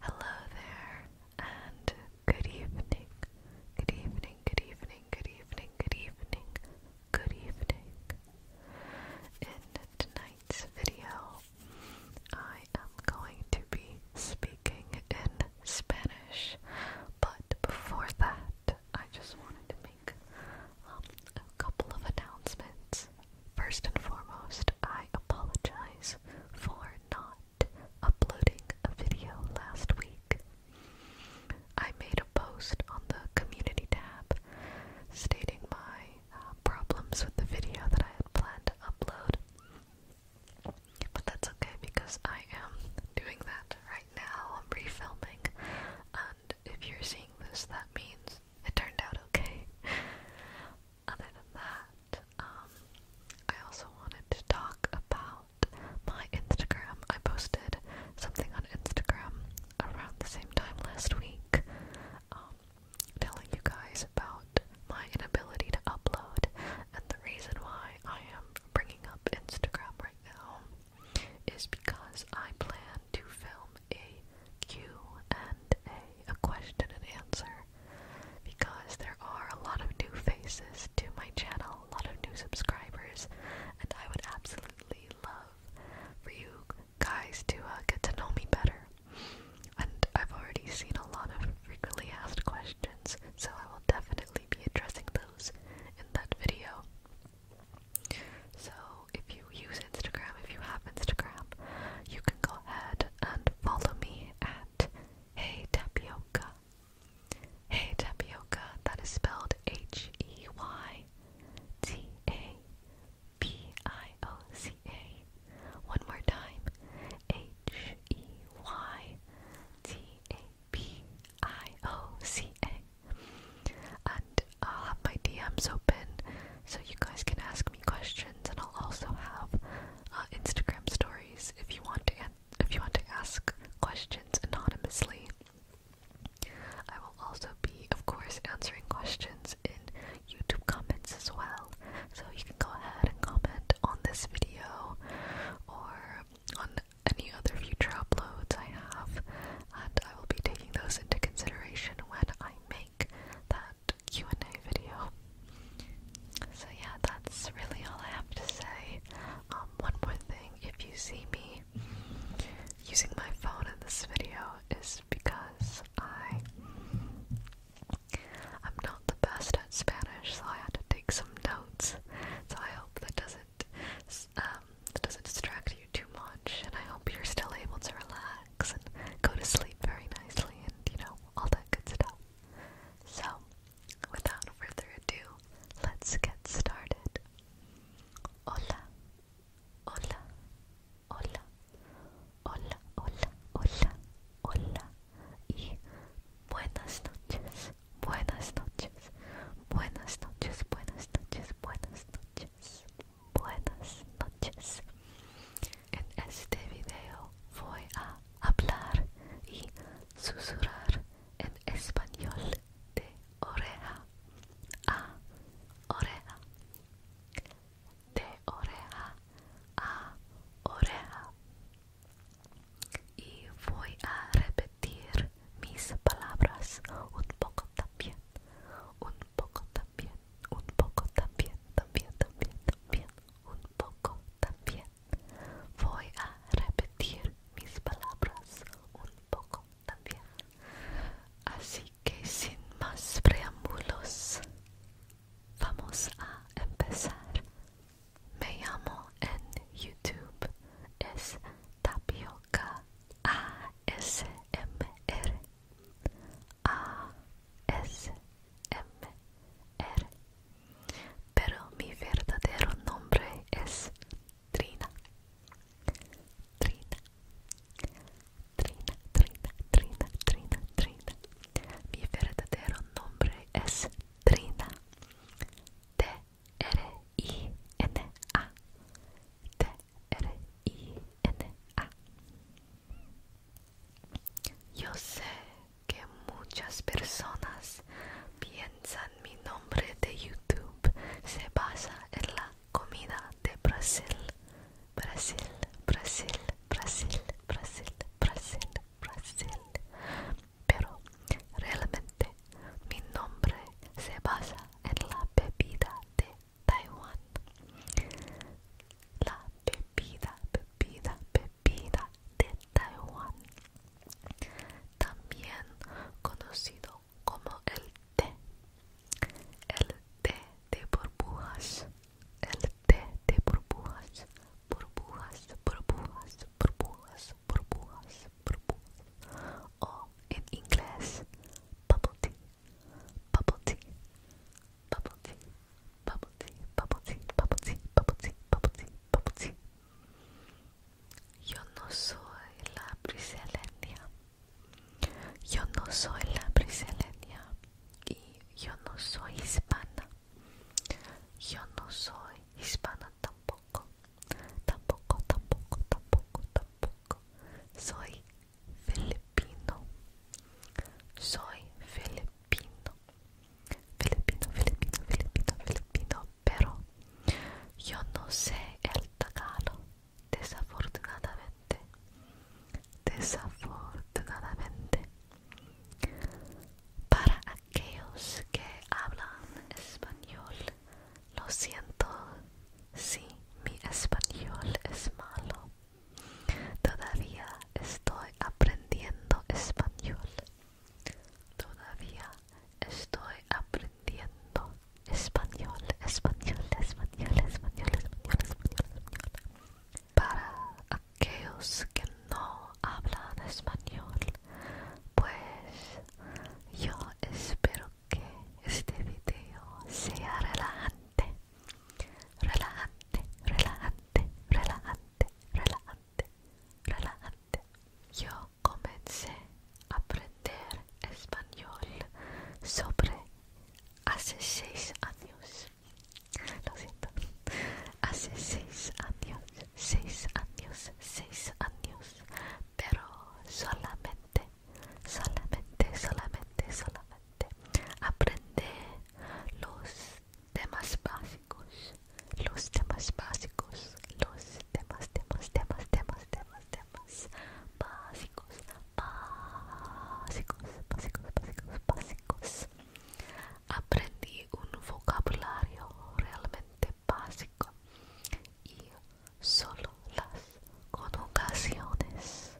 Hello there, and good evening. Good evening, good evening, good evening, good evening, good evening. In tonight's video, I am going to be speaking in Spanish, but before that, I just wanted to make um, a couple of announcements. First and foremost, I apologize for not uploading a video last week. I made a post on the community tab stating my uh, problems with the video that I had planned to upload. But that's okay because I am doing that right now. I'm refilming an if you're seeing this, that means it turned out okay. Other than that, um, I also wanted to talk about my Instagram. I posted something on Instagram around the same time last week, um, telling you guys about my inability to upload and the reason why I am bringing up Instagram right now is because I plan to film a Q and A, a question and answer, because there are a lot of new faces to my channel, a lot of new subscribers, and I would absolutely love for you guys to uh, get to know me better. And I've already seen a lot of frequently asked questions, so I will definitely be addressing those in that video. So, if you use Instagram, if you have Instagram, you can go ahead and follow me at Hey Tapioca. Hey Tapioca, that is spelled H E Y T A P I O C A. One more time H E Y T A P I O C A. And I'll have my DMs open so you guys can ask me questions, and I'll also have uh, Instagram stories if you want to if you want to ask questions anonymously. I will also be, of course, answering questions in YouTube comments as well. So you can go ahead and comment on this video or on any other future uploads I have and I will be taking those into consideration when I make that Q&A video. So yeah, that's really all I have to say. Um, one more thing, if you see me using my phone in this video, is because I I'm not the best at Spanish, so I had to take some notes. So I hope that doesn't um, it doesn't distract you too much, and I hope you're still able to relax and go to sleep very nicely and, you know, all that good stuff. So, without further ado, let's get started. Hola, hola, hola, hola, hola, hola, hola, y buenas noches, buenas noches, buenas noches, buenas noches, buenas noches. buenas noches. En este video voy a hablar y susurrar en español de oreja a oreja. De oreja a oreja. Y voy a repetir mis palabras un poco también un poco también, un poco también, también, también, también, un poco también. Voy a repetir mis palabras un poco también. Así que sin más preámbulos, vamos a empezar. Me llamo en YouTube es Tapio K-A-S-M-E-R a S M r Pero mi verdadero nombre es Trina Trina Trina, Trina, Trina, Trina, Trina Mi verdadero nombre es Trina T-R-I-N-A t R-I-N-A. Yo sé que muchas personas piensan mi nombre de YouTube se basa en la comida de Brasil. Brasil, Brasil, Brasil, Brasil, Brasil, Brasil. Pero realmente mi nombre se basa en la bebida de Taiwán. La bebida, bebida, bebida de Taiwán. También conocido como el té. El té de burbujas. El té de burbujas. Burbujas, burbujas, burbujas, burbujas, O en inglés, bubble tea. Bubble tea. Bubble tea. Bubble tea. Bubble tea. Bubble tea. Bubble tea. Bubble tea. Bubble tea. Yo no soy la Briselenia. Yo no soy la Briselenia. Y yo no soy hispana. Yo no soy hispana tampoco. Tampoco, tampoco, tampoco, tampoco. Soy filipino. Soy filipino. Filipino, filipino, filipino, filipino. Pero yo no sé el tagalo. Desafortunadamente. Desafortunadamente. Para aquellos que hablan español, lo siento Sí, mi español es malo. Todavía estoy aprendiendo español. Todavía estoy aprendiendo español, español, español, español, español, español. español. Para aquellos que no hablan español, pues yo espero que este video sea relajante, relajante, relajante, relajante, relajante, relajante. Yo comencé a aprender español sobre hace seis años. Lo siento. Hace seis años, seis años, seis años, pero solamente solamente, solamente, solamente aprende los temas básicos, los temas básicos, los temas, temas, temas, temas, temas, temas básicos, básicos, básicos, básicos, básicos. Aprendí un vocabulario realmente básico y solo las conjugaciones,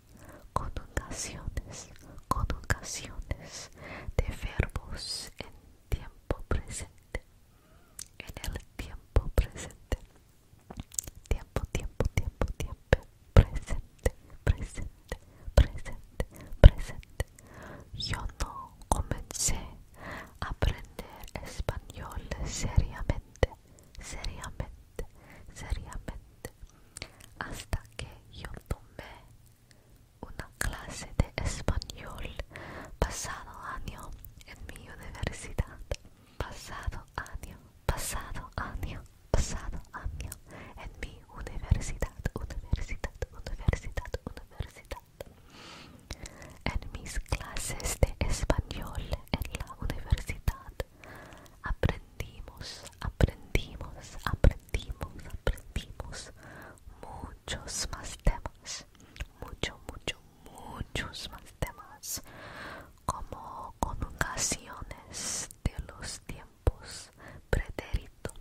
conjugaciones, conjugaciones de verbos en tiempo presente, en el tiempo presente, tiempo, tiempo, tiempo, tiempo, presente, presente, presente, presente. Yo no comencé a aprender español seriamente seriamente, seriamente, hasta que yo tomé una clase de español pasado año en mi universidad. Pasado año, pasado año, pasado año en mi universidad, universidad, universidad, universidad. En mis clases de español en la universidad Aprendimos, aprendimos, aprendimos, aprendimos muchos más temas. Mucho, mucho, muchos más temas. Como conjugaciones de los tiempos. Pretérito.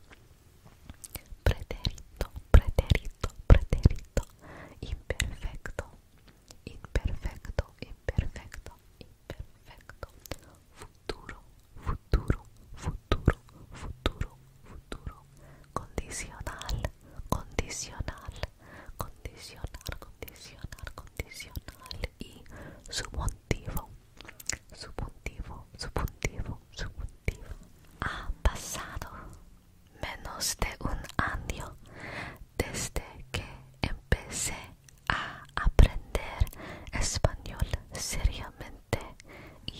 Pretérito, pretérito, pretérito. Imperfecto. Imperfecto, imperfecto, imperfecto perfecto futuro futuro futuro futuro futuro condicional condicional condicional condicional condicional y subjuntivo subjuntivo subjuntivo subuntivo. ha pasado menos de un año desde que empecé a aprender español seriamente y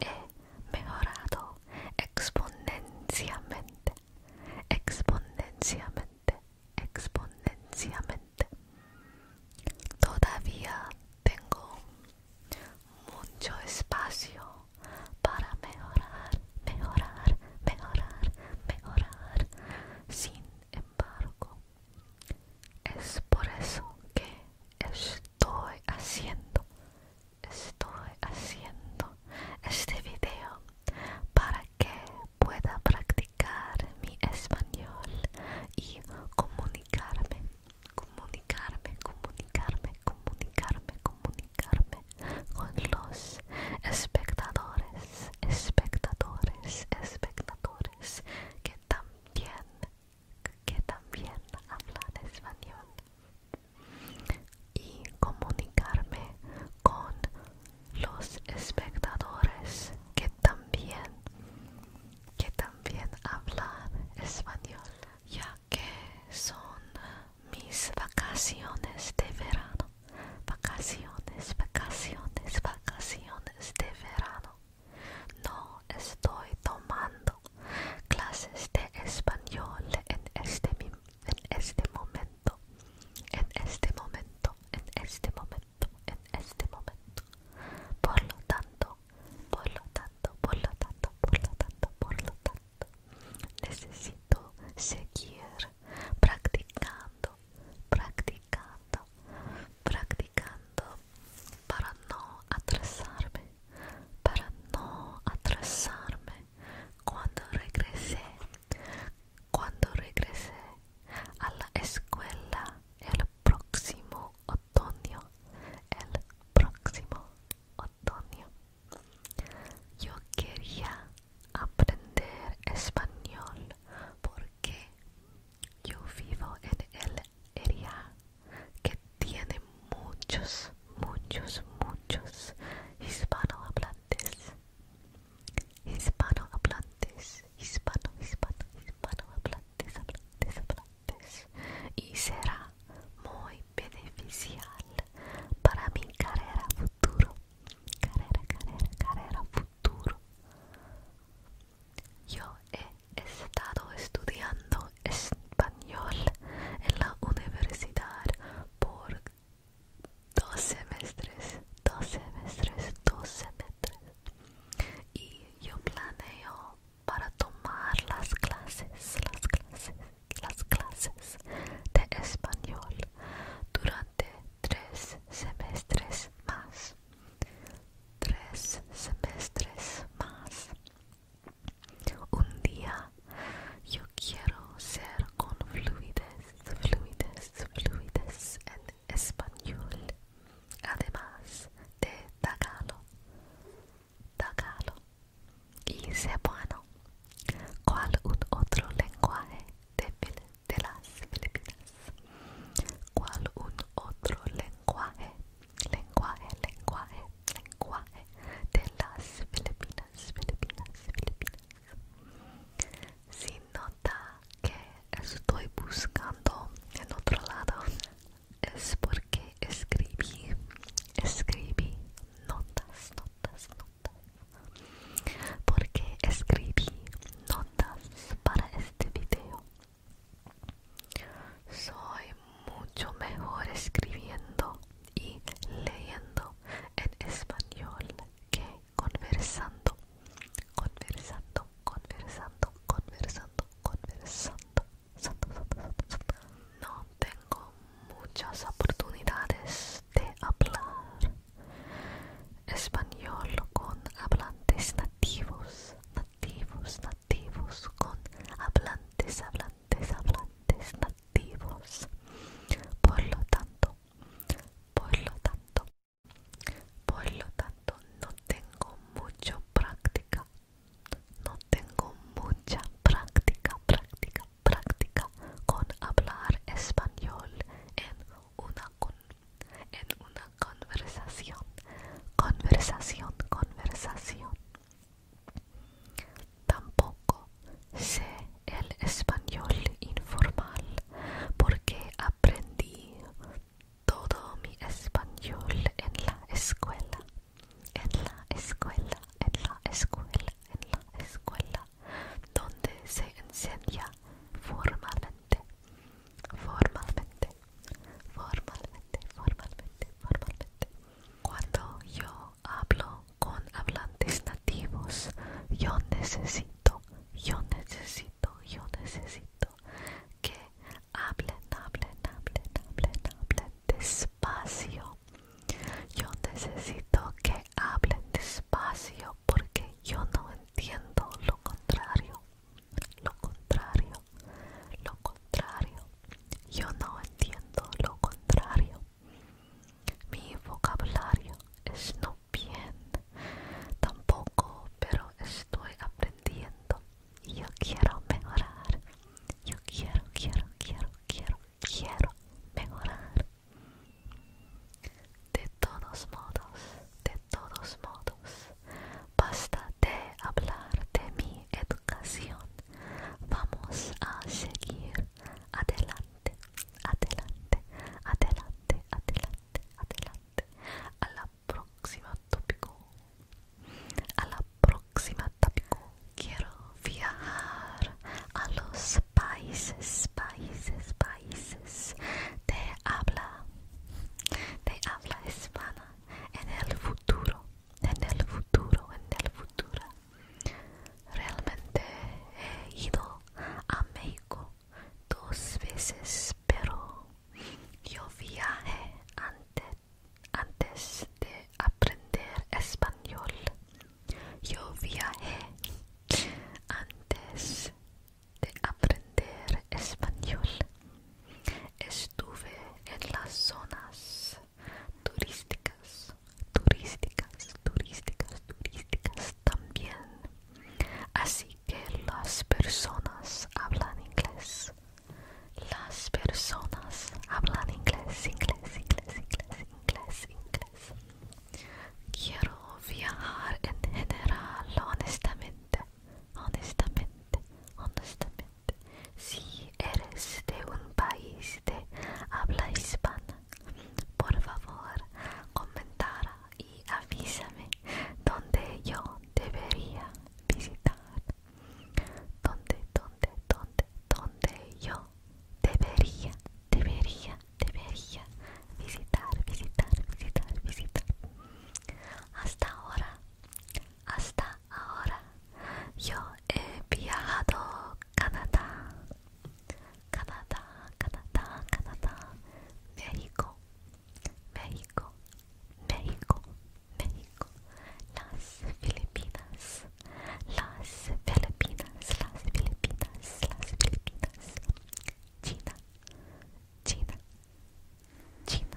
he mejorado exponencialmente, exponencialmente, exponencialmente. Todavía tengo mucho espacio para mejorar, mejorar, mejorar, mejorar sin embargo, es por eso que estoy haciendo, estoy haciendo este video para que pueda practicar mi español y comunicarme, comunicarme, comunicarme, comunicarme, comunicarme con los espectadores espectadores, espectadores que también, que también hablan español y comunicarme con los espectadores que también, que también hablan español, ya que son mis vacaciones de verano. Vacaciones, vacaciones, vacaciones de verano. No estoy tomando clases de español en este, este momento. En este momento, en este momento, en este momento. Por lo tanto, por lo tanto, por lo tanto, por lo tanto, por lo tanto. Necesito seguir practicando practicando, practicando para no atrasarme, para no atrasarme. Cuando regresé, cuando regresé a la escuela el próximo otoño, el próximo otoño, yo quería aprender español porque yo vivo en el área que tiene muchos, muchos, muchos hispanohablantes. Hispanohablantes, hispano, hispano, hispanohablantes, hablantes, Y será muy beneficial para mi carrera futuro. Carrera, carrera, carrera yo he estado estudiando español en la universidad por dos semestres, dos semestres, dos semestres. Y yo planeo para tomar las clases, las clases, las clases de español durante de tres semestres más. Tres semestres más. Un día yo quiero ser con fluides fluides fluides en español. Además de tagalo. Tagalo. Y bueno ¿Cuál un otro lenguaje de, las Filipinas. Cual un otro lenguaje, lenguaje, lenguaje, lenguaje de las Filipinas, Filipinas, Filipinas. Si nota que estoy buscando en otro lado, es porque escribí, escribí notas, notas, notas porque escribí notas para este video. Soy mucho mejor escribiendo y leyendo en español que conversando, conversando, conversando, conversando, conversando. No tengo muchas oportunidades de hablar español con hablantes nativos, nativos, nativos, con hablantes, hablantes, hablantes nativos. Por lo tanto, por lo tanto, por lo tanto, no tengo mucha práctica, no tengo mucha práctica, práctica, práctica con hablar español en una conversación en una conversación, conversación, conversación. Tampoco sé el español informal porque aprendí todo mi español en la escuela, en la escuela, en la escuela, en la escuela, donde se enseña formalmente formalmente, formalmente, formalmente, formalmente. Cuando yo hablo con hablantes nativos, yo necesito, yo necesito, yo necesito que hablen, hablen, hablen, hablen, hablen despacio. Yo necesito que hablen despacio porque yo no entiendo lo contrario, lo contrario, lo contrario, yo no entiendo lo contrario. Mi vocabulario es no bien, tampoco, pero estoy aprendiendo y yo quiero mejorar. Yo quiero, quiero, quiero, quiero, quiero mejorar. De todos modos, de todos modos, basta de hablar de mi educación. Vamos a seguir adelante, adelante, adelante, adelante, adelante. A la próxima tópico. A la próxima tópico. Quiero viajar a los países, países, países Te habla de habla hispana en el futuro, en el futuro, en el futuro. Realmente he ido a México dos veces, pero yo viajé antes, antes de aprender español. Yo viajé antes de aprender español. Estuve en las zonas turísticas, turísticas, turísticas, turísticas también. Así que las personas hablan inglés. Las personas hablan inglés, inglés, inglés, inglés, inglés, inglés. Quiero viajar en general, honestamente, honestamente, honestamente, si eres de un país de habla hispana, por favor, comentara y avísame dónde yo debería visitar, dónde, dónde, dónde, dónde yo debería, debería, debería visitar, visitar, visitar, visitar. Hasta ahora, hasta ahora, yo he viajado Canadá, Canadá, Canadá, Canadá, México, México, México, México, las Filipinas, las Filipinas, las Filipinas, las Filipinas, China, China. China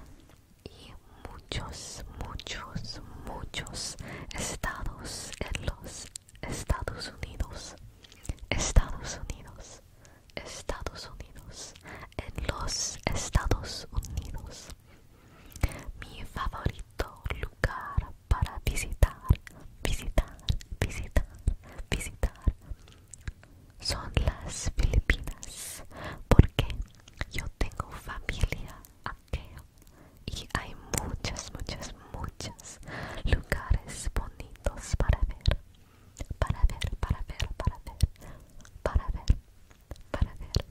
y muchos, muchos, muchos estados en los Estados Unidos. Estados Unidos. Estados Unidos. En los Estados Unidos. Mi favorito lugar para visitar, visitar, visitar, visitar son las Filipinas porque yo tengo familia aquí y hay muchas muchas muchos lugares bonitos para ver, para ver, para ver, para ver, para ver, para ver.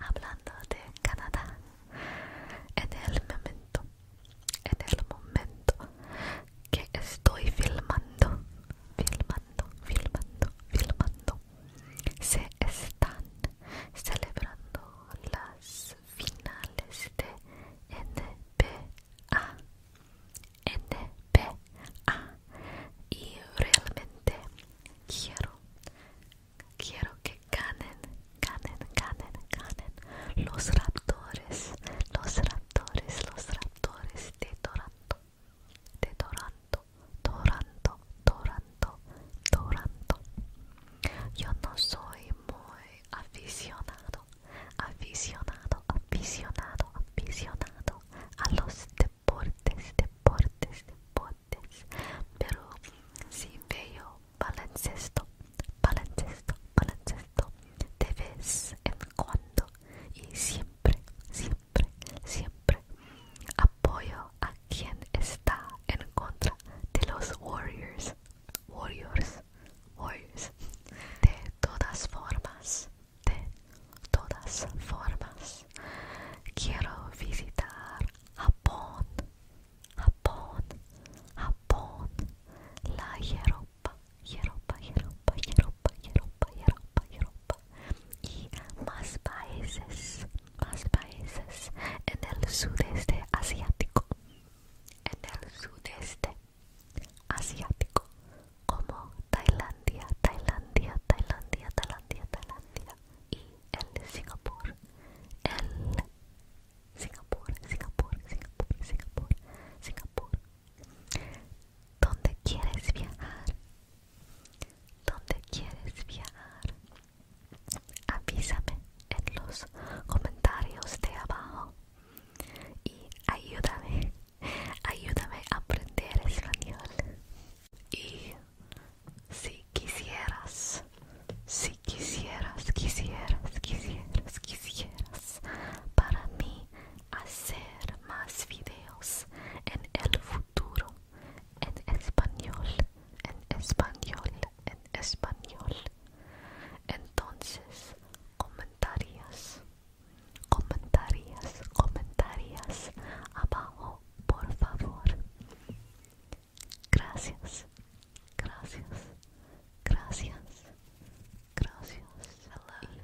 Hablando de Canadá, en el momento, en el momento que estoy filmando, filmando, filmando, filmando. Se están celebrando las finales de NBA. NBA. Y realmente quiero, quiero que ganen, ganen, ganen, ganen los raptores, los raptores los raptores de Toronto, de Toronto, Toronto, Toronto, Yo no soy muy aficionado, aficionado, aficionado, aficionado a los deportes, deportes, deportes, pero si veo baloncesto, baloncesto, baloncesto de vez en cuando y siempre, siempre, siempre apoyo a quien está en contra de los Warriors, Warriors, Warriors. De todas formas, de todas formas, quiero visitar Japón, Japón, Japón. La quiero. Europa, Europa, Europa, Europa, Europa, Europa, y más países, más países en el sudeste asiático, en el sudeste asiático, como Tailandia, Tailandia, Tailandia, Tailandia, Tailandia y el Singapur, el Singapur, Singapur, Singapur, Singapur, Singapur, ¿Dónde quieres viajar? ¿Dónde quieres viajar? Avísame en los comentarios de abajo y ayúdame, ayúdame a aprender español. Y si quisieras, si quisieras, quisieras, quisieras, quisieras, para mí hacer más videos en el futuro en español en español en español entonces comentarios comentarios comentarios abajo por favor gracias gracias gracias gracias hello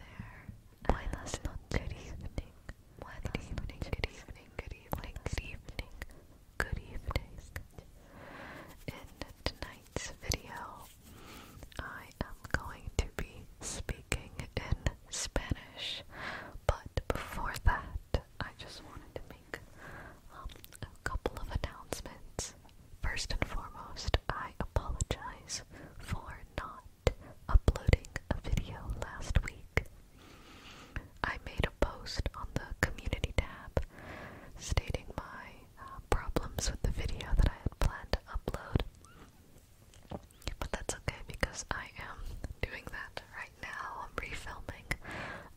Buenas noches. Good evening. Good evening. Good evening. Good evening. Good evening. Good evening. In tonight's video, I am going to be speaking in Spanish, but before that, I just wanted to make um, a couple of announcements. First and foremost, I apologize for not uploading a video last week. I made a post on the community tab stating my uh, problems with the video that I had planned to upload. But that's okay because I am doing that right now. I'm refilming.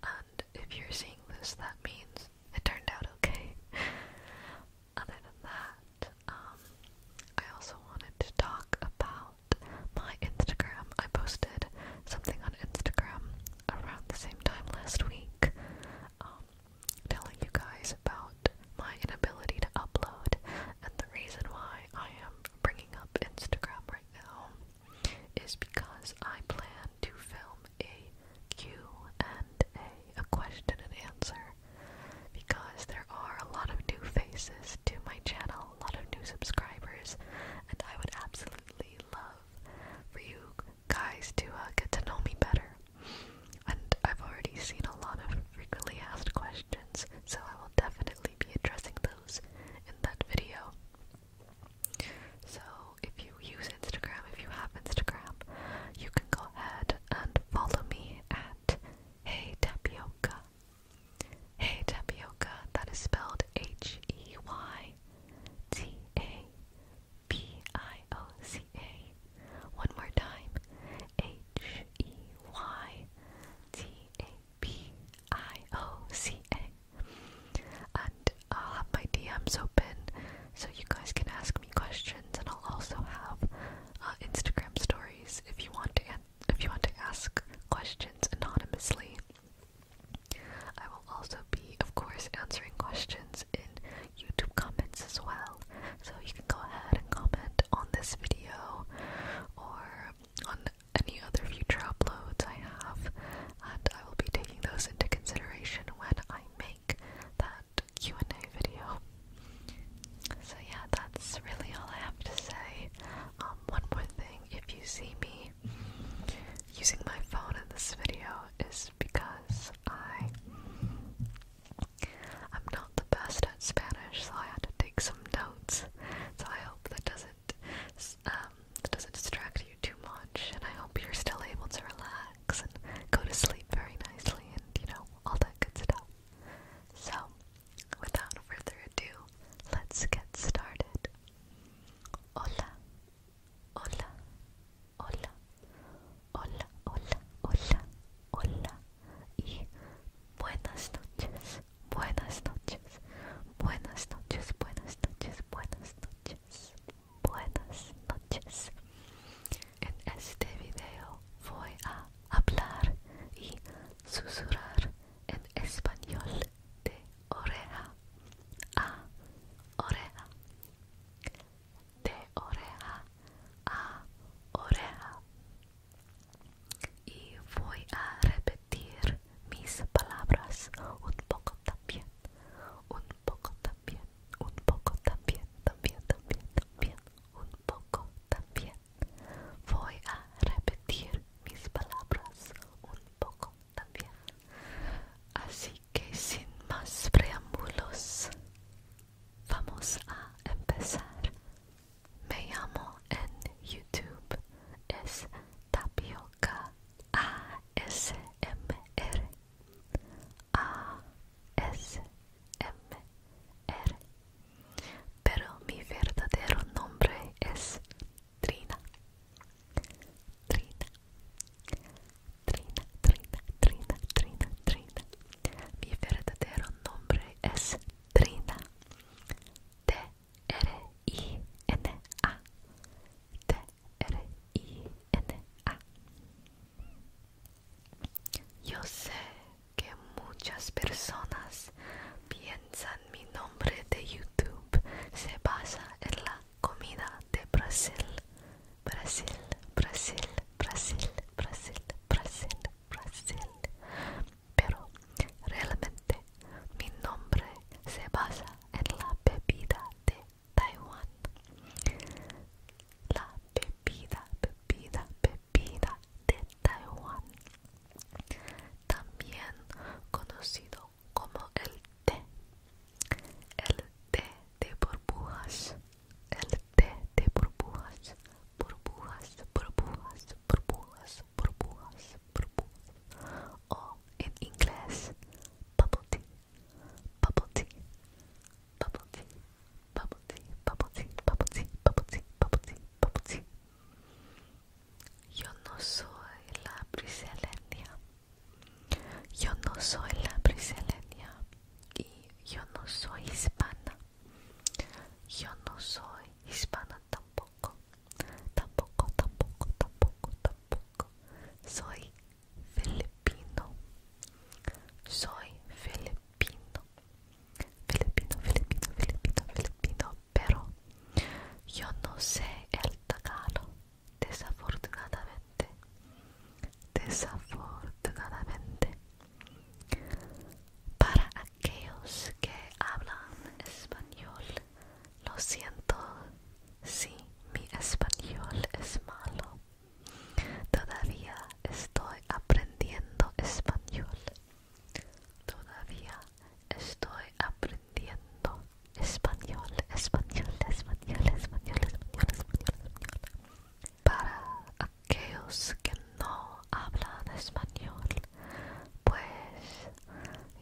And if you're seeing this, that means it turned out okay other than that, um, I also wanted to talk about my Instagram. I posted something on Instagram around the same time last week, um, telling you guys about my inability to upload, and the reason why I am bringing up Instagram right now is because I plan to film a Q and A, a question and answer because there are a lot of new faces to my channel, a lot of new subscribers, and I would absolutely love for you guys to uh, get to know me better. And I've already seen a lot of frequently asked questions, so I will definitely be addressing those in that video. So, if you use Instagram, if you have Instagram, you can go ahead and follow me at Hey Tapioca. Hey Tapioca, that is spelled H E Y T A P I O C A. One more time. H E Y T A P I O C A. And I'll have my DMs open so you guys can ask questions, and I'll also have uh, Instagram stories if you want to if you want to ask questions anonymously. I will also be, of course, answering questions in YouTube comments as well. So you can go ahead and comment on this video or on any other future uploads I have, and I will be taking those into consideration when I make that Q&A video. So yeah, that's really all I have to say. Um, one more thing, if you see me using my phone in this video is because I I'm not the best at Spanish, so I had to take some notes. So I hope that doesn't um, that doesn't distract you too much, and I hope you're still able to relax and go to sleep very nicely, and you know all that good stuff. So, without further ado, let's get started. Hola, hola, hola, hola, hola, hola, hola, y buenas noches, buenas noches, buenas noches, buenas noches, buenas noches, buenas noches. En este video voy a hablar y susurrar en español de oreja a oreja, de oreja a oreja. Y voy a repetir mis palabras un poco también, un poco también, un poco también, también, también, también un poco también. Voy a repetir mis palabras un poco también. Así que sin más preámbulos, vamos a empezar. Me llamo en YouTube. Es Tapioca ASMR. A SMR Pero mi verdadero nombre es Trina Trina Trina, Trina, Trina, Trina, Trina Mi verdadero nombre es Trina T-R-I-N-A T-R-I-N-A Yo sé que muchas personas piensan mi nombre de YouTube se basa en la comida de Brasil. Brasil, Brasil, Brasil, Brasil, Brasil, Brasil. Pero realmente mi nombre se basa en la bebida de Taiwán. La bebida, bebida, bebida Vida de Taiwán, también conocido como el té, el té de burbujas, el té de burbujas, burbujas, burbujas, burbujas, burbujas, burbujas, o en inglés bubble tea, bubble tea, bubble tea bubble tea, bubble tea, bubble tea, Yo no soy la brasileña. Yo no soy la brasileña y yo no soy hispana. Yo no soy hispana tampoco. Tampoco, tampoco, tampoco, tampoco. Soy filipino. Soy filipino filipino, filipino, filipino, filipino, pero yo no sé el tagalo, desafortunadamente, desafortunadamente. Para aquellos que hablan español, lo siento si mi español es malo. Todavía estoy aprendiendo español. Todavía estoy aprendiendo español, español, español, español, español, español. Para aquellos que no hablan español, pues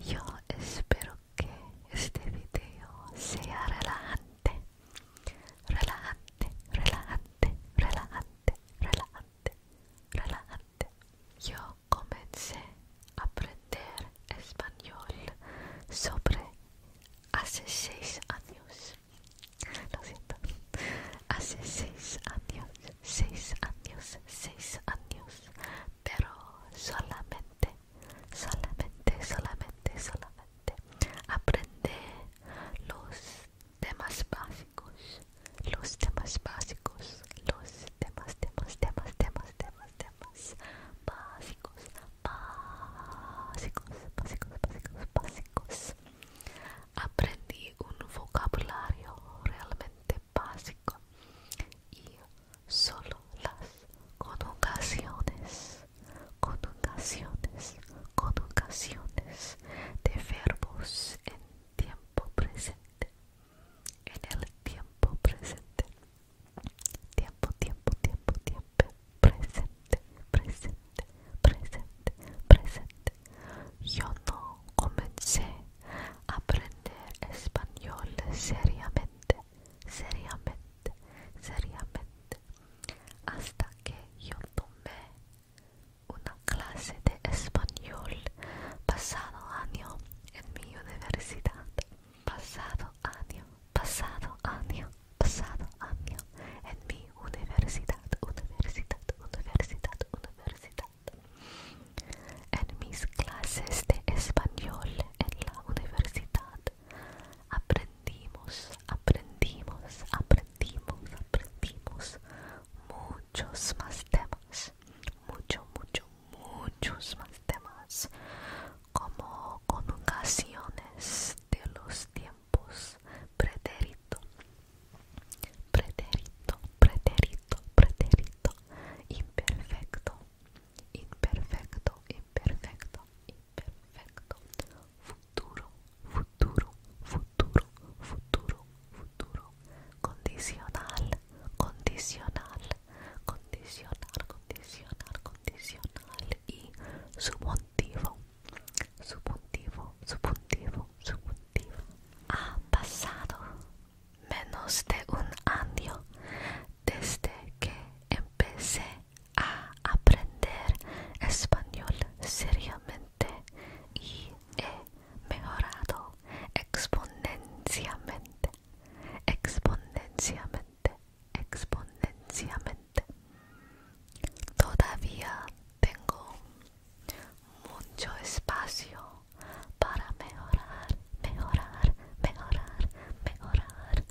yo espero que este video sea relajante, relajante, relajante, relajante, relajante. Yo comencé a aprender español sobre hace seis años. Lo siento. Hace seis años, seis años, seis años. Pero solamente, solamente, solamente, solamente aprende los temas básicos, los temas básicos, los temas, temas, temas, temas, temas, temas básicos, básicos, básicos, básicos, básicos. Aprendí un vocabulario realmente básico y solo las conjugaciones, conjugaciones, conjugaciones de verbos en tiempo presente. En el tiempo presente. Tiempo, tiempo, tiempo, tiempo. Presente, presente, presente, presente. Yo no comencé a aprender español seriamente, seriamente, seriamente hasta que yo tomé una clase de español pasado año en mi universidad. Pasado año, pasado año, pasado año en mi universidad, universidad, universidad, universidad. En mis clases de español en la universidad aprendimos, aprendimos, aprendimos, aprendimos muchos más temas, mucho, mucho, muchos más temas, como ocasiones de los tiempos, pretérito, pretérito, pretérito, pretérito, imperfecto, imperfecto, imperfecto, imperfecto, futuro, futuro, futuro, futuro, futuro. Condicional, condicional, condicional, condicional, condicional. Y subjuntivo, subjuntivo, subjuntivo, subjuntivo. Ha pasado menos de un año desde que empecé a aprender español seriamente y he mejorado exponencialmente, exponencialmente, exponencialmente. Todavía tengo mucho espacio para mejorar, mejorar, mejorar, mejorar.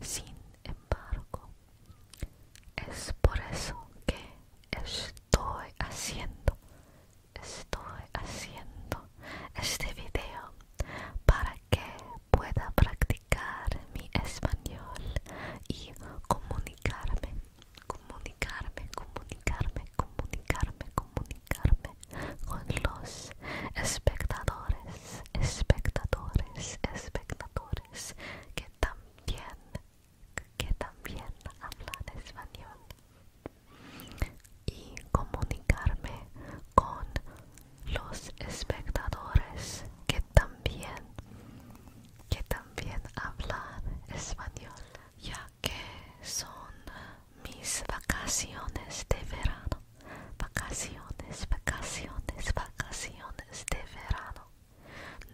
Sin embargo, es por eso que estoy haciendo, estoy haciendo este video para que pueda practicar mi español y comunicarme, comunicarme, comunicarme, comunicarme, comunicarme con los espectadores, espectadores, espectadores que también que también hablan español y comunicarme con los espectadores que también que también hablan español ya que son mis vacaciones de verano vacaciones vacaciones vacaciones de verano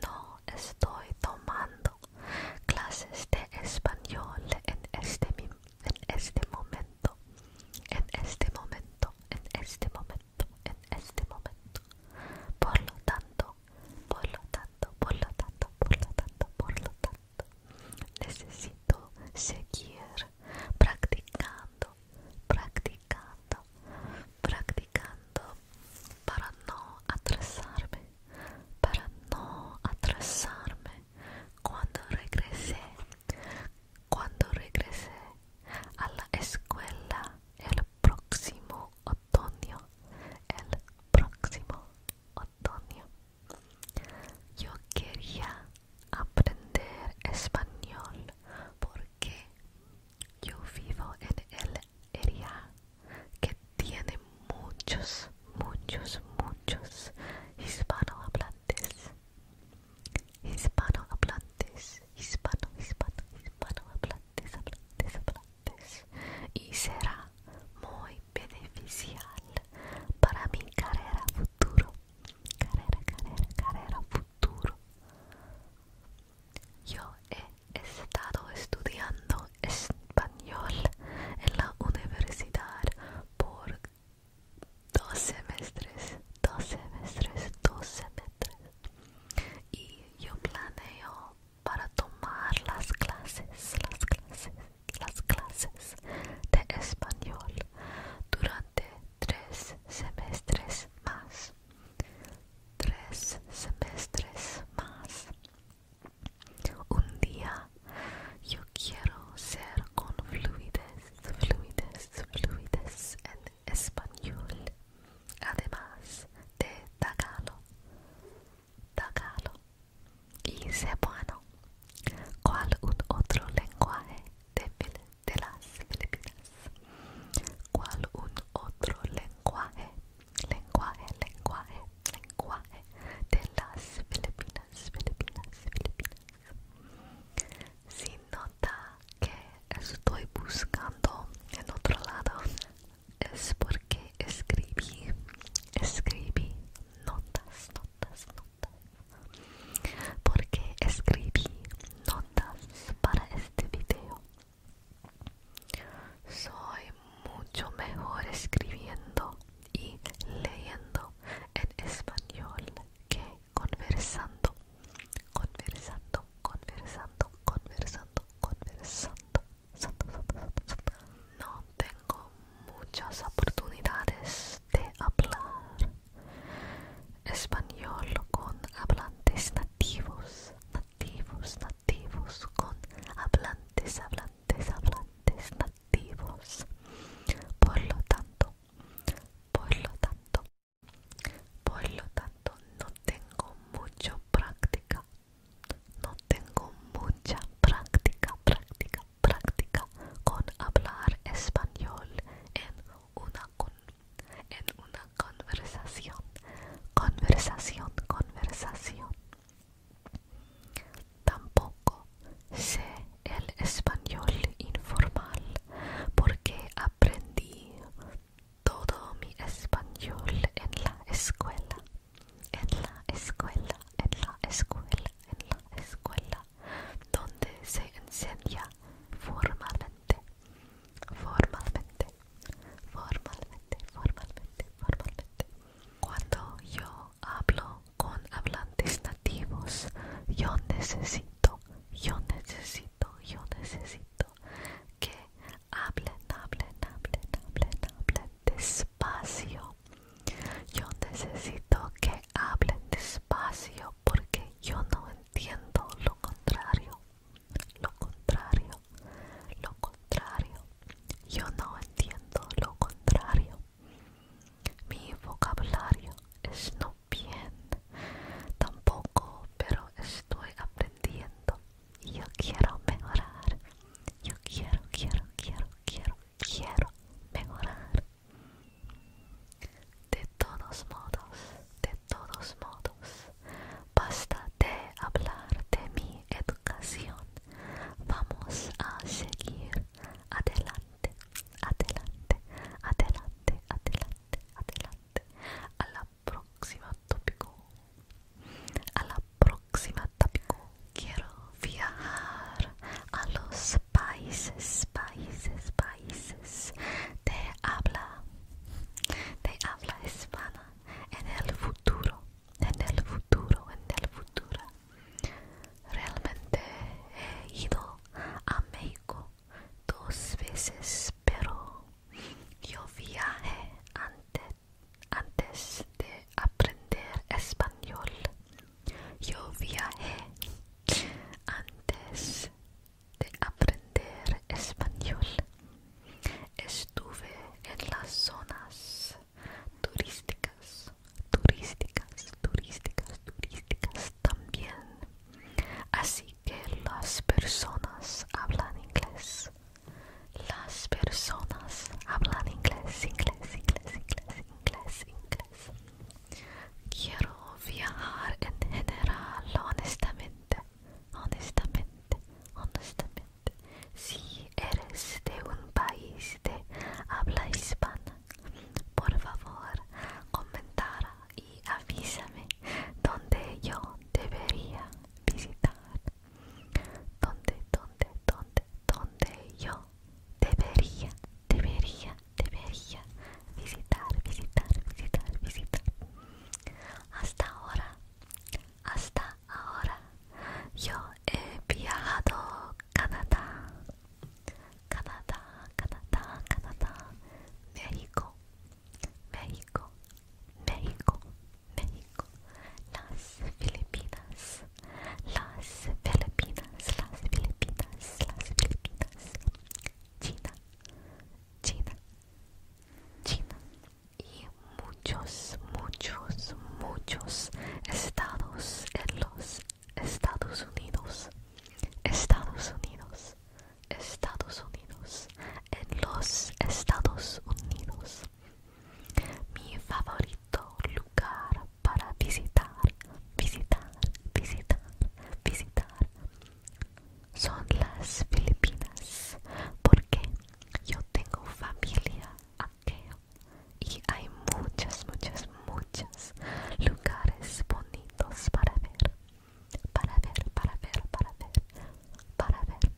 no estoy tomando clases de español este en este, momento. En este momento, en este momento, en este momento. Por lo tanto, por lo tanto, por lo tanto, por lo tanto, por lo tanto, necesito seguir practicando, practicando, practicando para no atrasarme para no atrasarme cuando regresé. Cuando regresé a la escuela el próximo otoño, el próximo otoño, yo quería aprender español porque yo vivo en el área que tiene muchos, muchos, muchos hispanohablantes. Hispanohablantes, hispano, hispanohablantes, Y será muy beneficial para mi carrera futuro. Carrera, carrera, carrera futuro. Yo he estado estudiando español en la universidad por dos semestres, dos semestres, dos semestres. Y yo planeo para tomar las clases, las clases, las clases de español durante tres semestres más. Tres semestres más. Un día yo quiero ser con fluides, fluides, fluides en español. Además de tagalo, tagalo y bueno, ¿Cuál un otro lenguaje de, de las Filipinas? ¿Cuál un otro lenguaje lenguaje, lenguaje, lenguaje de las Filipinas, Filipinas, Filipinas. Si nota que estoy buscando en otro lado, es porque escribí, escribí notas, notas, notas. Porque escribí notas para este video. Soy mucho mejor escribiendo y leyendo en español que conversando, conversando, conversando, conversando, conversando. No tengo muchas oportunidades de hablar español con hablantes nativos, con hablantes, hablantes, hablantes nativos. Por lo tanto, por lo tanto, por lo tanto, no tengo mucha práctica. No tengo mucha práctica, práctica, práctica con hablar español en una, en una conversación, conversación, conversación. Tampoco sé el español informal porque aprendí todo mi español en la escuela, en la escuela, en la escuela, en la escuela, donde se enseña formalmente, formalmente, formalmente, formalmente, cuando yo hablo con hablantes nativos, yo necesito, yo necesito, yo necesito que hablen, hablen, hablen, hablen, hablen despacio. Yo necesito que hablen despacio porque yo no entiendo lo contrario. Lo contrario, lo contrario, yo no entiendo lo contrario. Mi vocabulario es no bien, tampoco, pero estoy aprendiendo. Yo quiero mejorar. Yo quiero, quiero, quiero, quiero, quiero mejorar. De todos modos, de todos modos, Basta de hablar de mi educación. Vamos a seguir adelante, adelante, adelante, adelante, adelante. A la próxima tópico. A la próxima tópico. Quiero viajar a los países, países, países de habla, de habla hispana en el futuro en el futuro, en el futuro. Realmente he ido a México dos veces, pero yo viajé antes, antes de aprender español. Yo viajé antes de aprender español. Estuve en las zonas turísticas, turísticas, turísticas, turísticas también. Así que las personas hablan inglés. Las personas hablan inglés, inglés, inglés, inglés, inglés, inglés. Quiero viajar en general, honestamente, honestamente, honestamente si eres de un país de habla hispana. Por favor, comentara y avísame dónde yo debería visitar. Dónde, dónde, dónde, dónde yo debería, debería, debería visitar, visitar, visitar, visitar. Hasta ahora, hasta Ahora yo he viajado a Canadá, Canadá, Canadá, Canadá, México, México, México, México, las Filipinas, las Filipinas, las Filipinas, las Filipinas, China, China, China. y muchos, muchos, muchos estados en los Estados Unidos. Estados Unidos. Estados Unidos. En los Estados Unidos. Mi favorito lugar para visitar, visitar, visitar, visitar son las Filipinas porque yo tengo familia y hay muchas muchas muchos lugares bonitos para ver, para ver, para ver, para ver, para ver,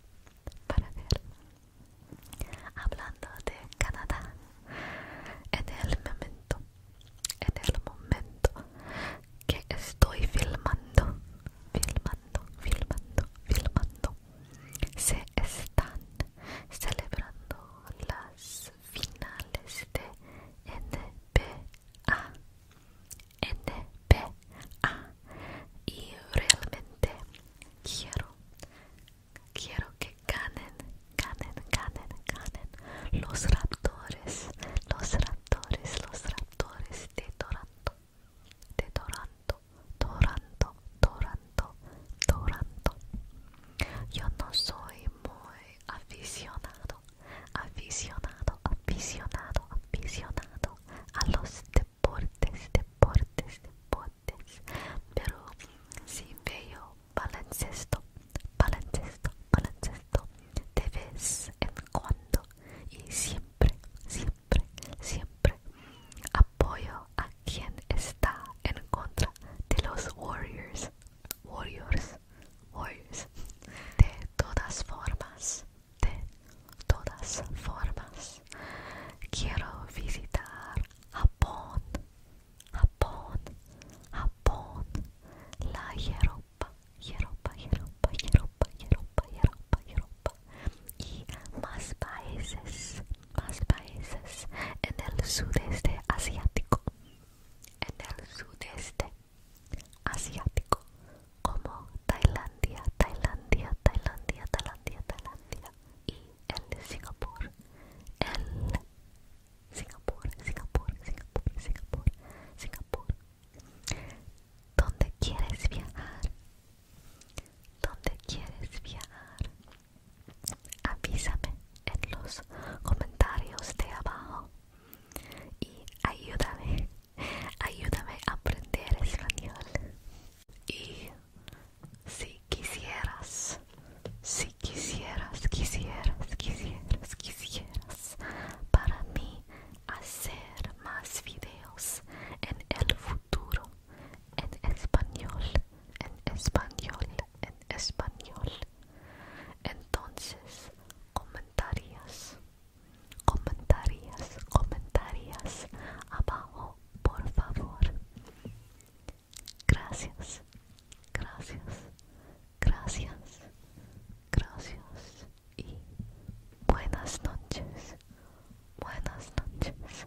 para ver. Hablando de Canadá, en el momento, en el momento que estoy filmando, filmando, filmando, filmando se están celebrando las finales de NBA, NBA y realmente quiero, quiero que ganen, ganen, ganen, ganen los raptores, los raptores, los raptores de Toronto de Toronto, Toronto, Toronto, Yo no soy muy aficionado, aficionado, aficionado, aficionado a los deportes, deportes, deportes. Pero si veo baloncesto, baloncesto, baloncesto de vez en cuando y siempre siempre, siempre apoyo a quien está en contra de los Warriors. Warriors, Warriors. De todas formas, de todas formas, quiero visitar Japón, Japón, Japón, la Europa, Europa, Europa, Europa, Europa, Europa, Europa y más países, más países en el sudeste asiático, en el sudeste asiático, como Tailandia, Tailandia, Tailandia, Tailandia, Tailandia y el Singapur, el Singapur, Singapur, Singapur, Singapur, Singapur. ¿Dónde quieres viajar? ¿Dónde quieres viajar? Avísame en los comentarios de abajo y ayúdame, ayúdame a aprender español. Y si quisieras, si quisieras, quisieras, quisieras, quisieras, para mí hacer más videos en el futuro en español, en español, en español. Entonces, comentarios, comentarios, comentarios abajo, por favor. Gracias, gracias, gracias, gracias y buenas noches, buenas noches,